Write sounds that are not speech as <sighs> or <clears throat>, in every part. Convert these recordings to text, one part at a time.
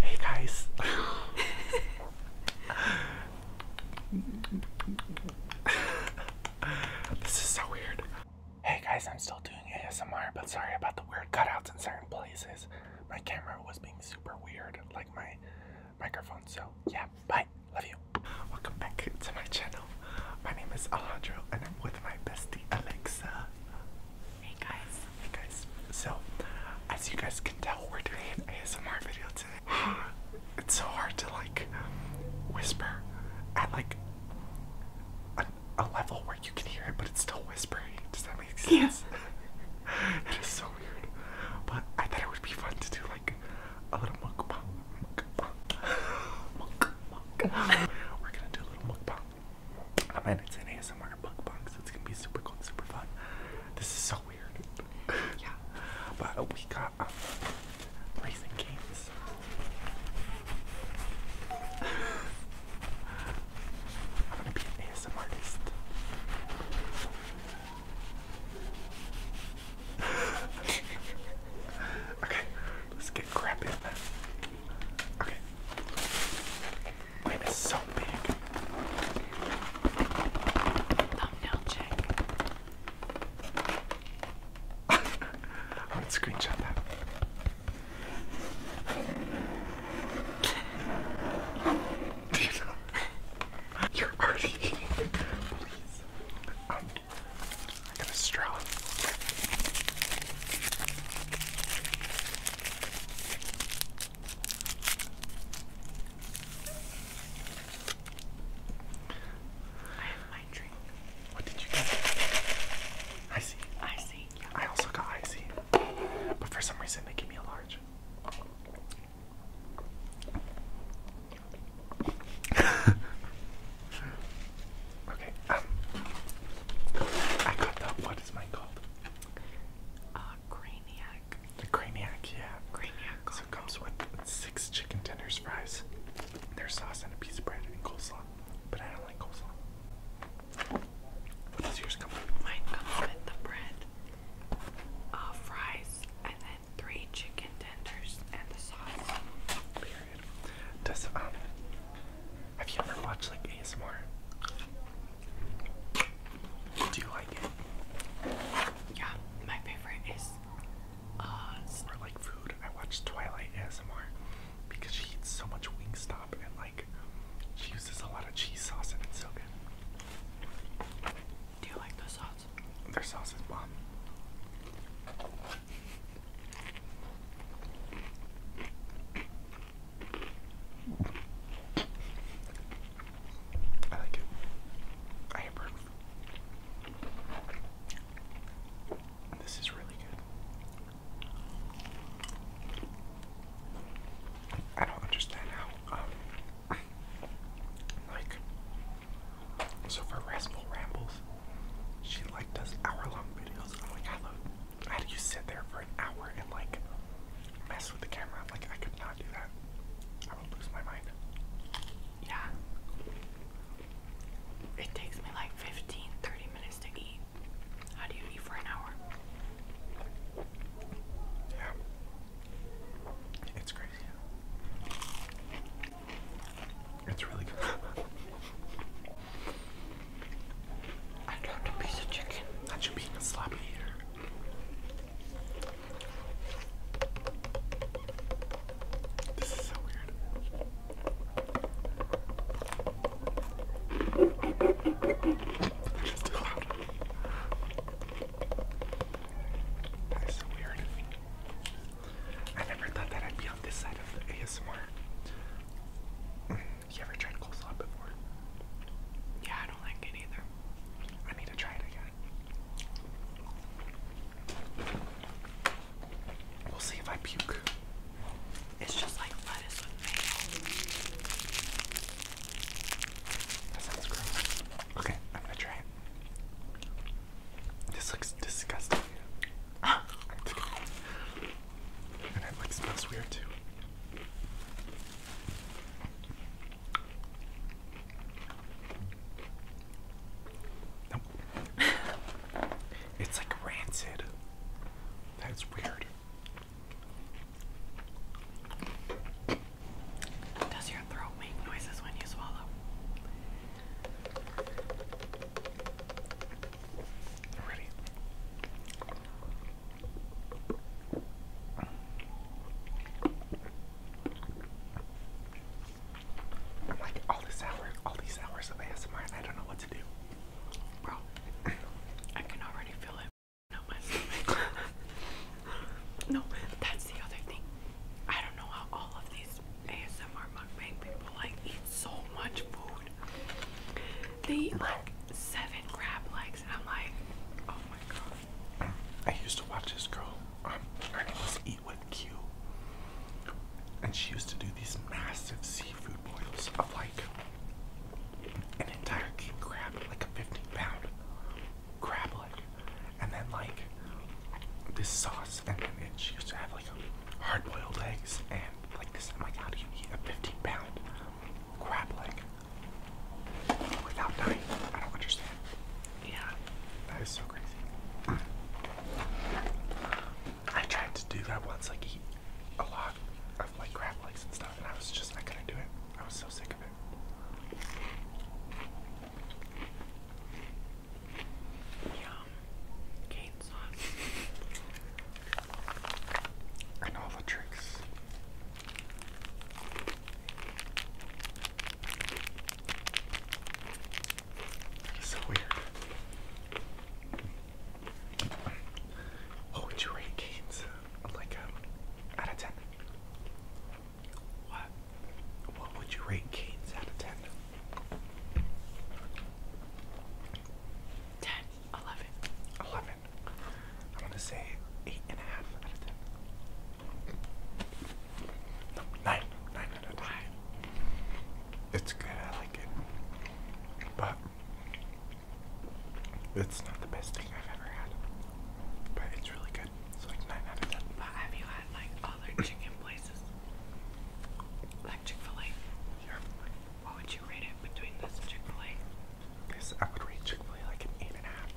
Hey guys. this is so weird. Hey guys, I'm still doing ASMR, but sorry about the weird cutouts in certain places. My camera was being super weird, like my microphone. So yeah, bye. Love you. Welcome back to my channel. My name is Alejandro, and I'm with my bestie Alexa. Hey guys. Hey guys. So, as you guys can tell, we're doing an ASMR video today. <sighs> it's so hard to like whisper at like a, level where you can hear it, but it's still whispering. Does that make sense? Yeah. <laughs> it is so weird. But I thought it would be fun to do like a little mukbang. Mukbang. <laughs> mukbang. <laughs> We're gonna do a little mukbang. I mean, it's an ASMR book box. It's gonna be super cool, and super fun. This is so weird. yeah, but we got um, racing games. I'm gonna be an ASMR artist. <laughs> okay, let's get crap in Okay. Wait, it's so big. Thumbnail check. I <laughs> would screenshot that. Do you know? You're already Please. Um, I got a straw. I have my drink. What did you get? Icy. Icy. Yeah. I also got icy, but for some reason they gave me a large. <laughs> okay. Um, I got the. What is mine called? Uh, Craniac. The Craniac, yeah. Craniac. Combo. So it comes with six chicken tenders, fries, there's sauce, and a piece of bread and coleslaw. But I don't like coleslaw. What does yours come with? Mine comes with the bread, uh, fries, and then three chicken tenders and the sauce. Period. Does um have you ever watched like ASMR? Do you like it? Yeah, my favorite is uh or like food. I watch Twilight ASMR because she eats so much Wingstop and like she uses a lot of cheese sauce and it's so good. Do you like the sauce? Their sauce is bomb. I like it. I hampered. This is really good. I don't understand how, um, like, so for Raspal Rambles, she like does hour long videos. I'm how do you sit there for an hour and like mess with the camera? Like I could not do that. I would lose my mind. Yeah. It takes me like 15, 30 minutes to eat. How do you eat for an hour? Yeah. It's crazy. It's really good. <laughs> I dropped a piece of chicken. Not you being a sloppy eater. This is so weird. That's so weird. I never thought that I'd be on this side of the ASMR. You ever tried coleslaw before? Yeah, I don't like it either. I need to try it again. We'll see if I puke. It's just like lettuce with mayo. That sounds gross. Okay, I'm gonna try it. This looks disgusting. <laughs> And it like smells weird too. Nope. it's like rancid. That's weird. Does your throat make noises when you swallow? I'm like all this hour, all these hours of ASMR, and I don't know what to do. Bro, I can already feel it. No, <laughs> no, that's the other thing. I don't know how all of these ASMR mukbang people like eat so much food. The like seven crab legs, and I'm like, oh my god. I used to watch this girl. I'm name was Eat with Q, and she used to do these massive seafood boils of like an entire king crab, like a 15 pound crab leg, and then like this sauce, and then she used to have like hard boiled eggs and like this. I'm like, how do you eat a 15 pound crab leg without dying? I don't understand. Yeah, that is so crazy. I tried to do that once, like eat a lot of like crab legs and stuff, and I was just, not gonna do it. I was so sick of it. Yum. Cane sauce and all the tricks. That is so weird. What oh, would you rate games like um, out of ten? What? What would you rate games out of ten? 10, 11. I'm going to say 8.5 out of 10. 9. 9 out of 10. It's good, I like it. But it's not the best thing I've ever had. But it's really good. It's like 9 out of 10. But have you had like other chicken places? Like Chick fil A? Sure. would you rate it between this Chick-fil-A? This I would rate Chick-fil-A like an eight and a half.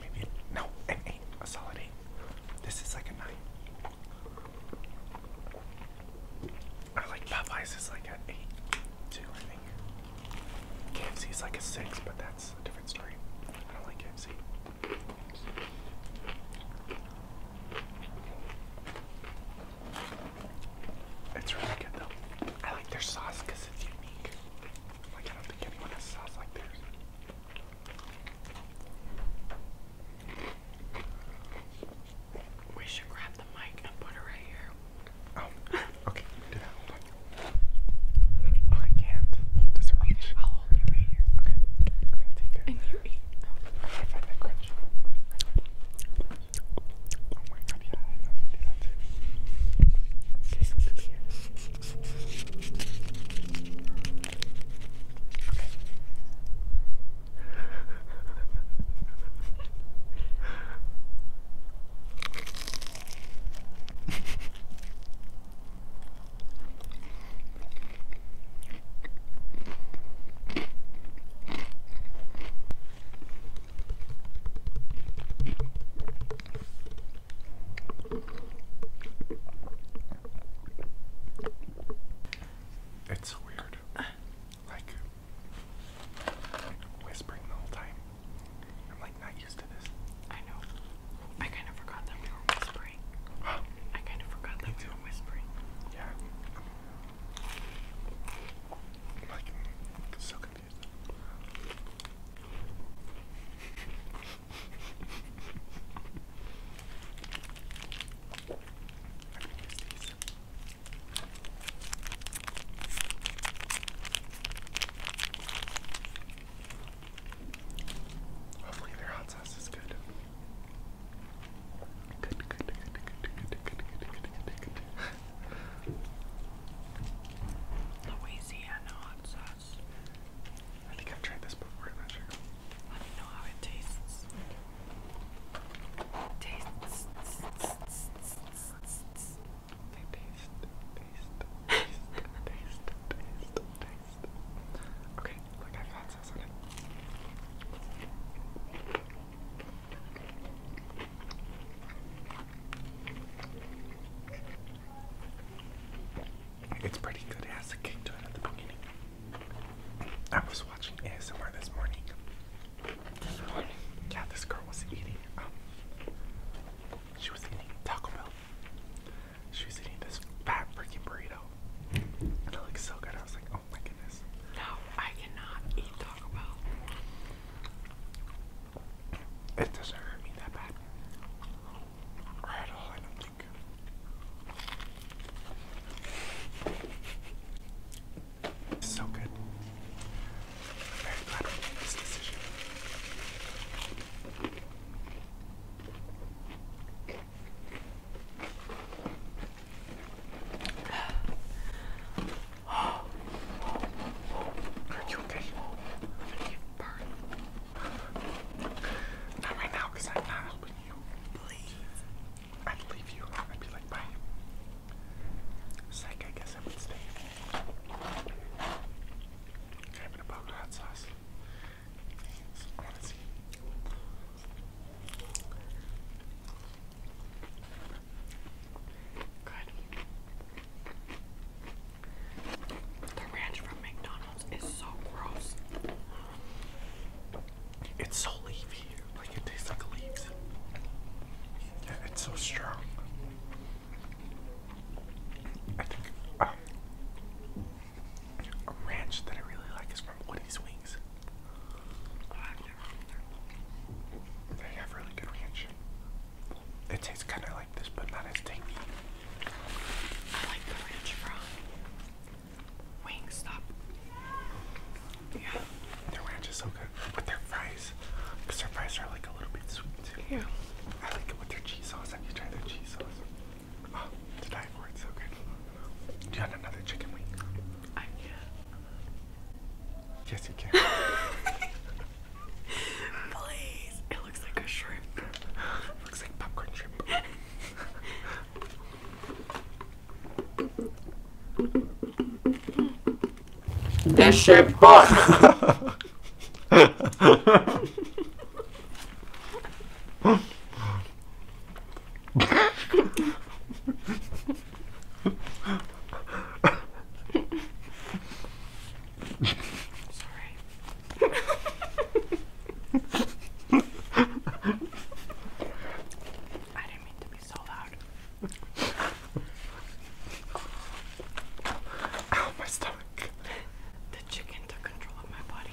Maybe no, an eight, a solid eight. This is like a nine. I like Popeyes is like an eight, two I think KFC is like a six, but that's a different story. I don't like KFC. It's really good though. I like their sauce because it's unique. Like I don't think anyone has sauce like theirs. We should grab the mic and put it right here. Oh, <laughs> okay. Do that. Oh, I can't. It I'll hold it right here. Okay. I'm gonna take it. And you eat I find Oh my god, yeah, I love to Okay, it's weird. Like whispering the whole time. I'm like not used to this. I know. I kind of forgot that we were whispering. <gasps> I kind of forgot that we were whispering. Yeah. so confused. Hopefully their hot sauce is good. Good, good, good, good, good, good, good, good. Louisiana hot sauce. I think I've tried this before, I'm not sure. I don't know how it tastes. Tastes. Taste, taste, taste, taste, taste, taste, taste, taste, Okay, look, I've sauce on it. It's pretty good. It has a kick to it at the beginning. I was watching ASMR this morning. Yeah, this girl was eating. Um, she was eating Taco Bell. She was eating this fat freaking burrito, it looks so good. I was like, oh my goodness. No, I cannot eat Taco Bell. It doesn't hurt me that bad. at all, I don't think. It's so good. I'm very glad we made this decision. I'm gonna get burned. Not right now, because I'm not helping you. Please. I'd leave you. I'd be like, bye. Psych, I guess I would stay. Okay, I'm going hot sauce. Good. The ranch from McDonald's is so gross. It's so leafy, like it tastes like leaves. Yeah, it's so strong a ranch that I really like is from Woody's Wings. Oh, they have really good ranch. It tastes kind of like this, but not as tangy. I like the ranch from Wingstop. Yeah. Their ranch is so good with their fries, because their fries are like a little bit sweet. too. Yeah. I like it with their cheese sauce. Have you try their cheese sauce? Oh, the diet so good. Do you want another chicken wing? I can. Yes, you can. <laughs> Please. It looks like a shrimp. looks like popcorn shrimp. That shrimp bun. <laughs> <laughs> Sorry. <laughs> I didn't mean to be so loud. Ow, my stomach. The chicken took control of my body.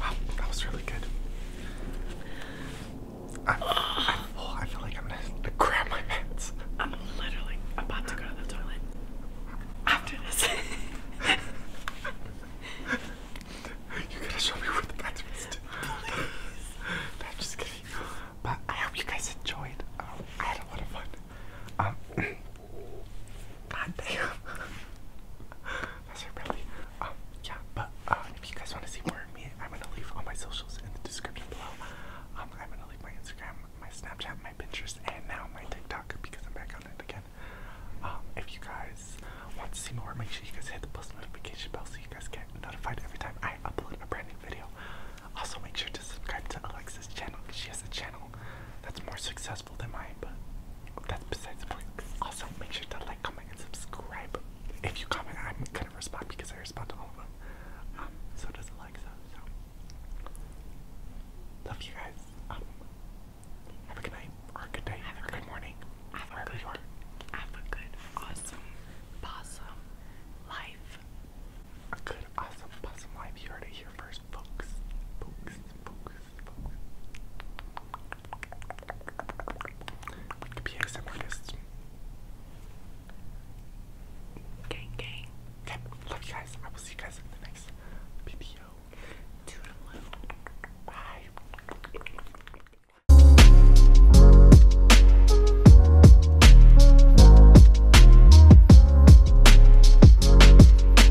Wow, that was really good. i i oh, feel like I'm gonna grab my pants. I'm literally about to go to the toilet after this. <laughs> you got to show me where the bathroom is. Please. no, I'm just kidding. But I hope you guys enjoyed. Um, I had a lot of fun. Um, <clears throat> God damn. <laughs> That's your belly. Um, yeah, but uh, if you guys want to see more of me, I'm gonna leave all my socials in the description below. Um, I'm gonna leave my Instagram, my Snapchat, my Pinterest, and now my TikTok because I'm back on it again. Um, if you guys want to see more, make sure you guys hit the post notification bell so you guys get notified every time I upload a brand new video. Also, make sure to subscribe to Alexa's channel because she has a channel that's more successful also, make sure to like, comment, and subscribe. If you comment, I'm gonna respond because I respond to all of them. Um, so does Alexa. So love you guys. Um, have a good night or a good day have a good, morning. Have a good, awesome, awesome life. A good, awesome, awesome life. You heard here first, folks. Folks, folks. Gang, gang. love you guys. I will see you guys in the next video. Bye.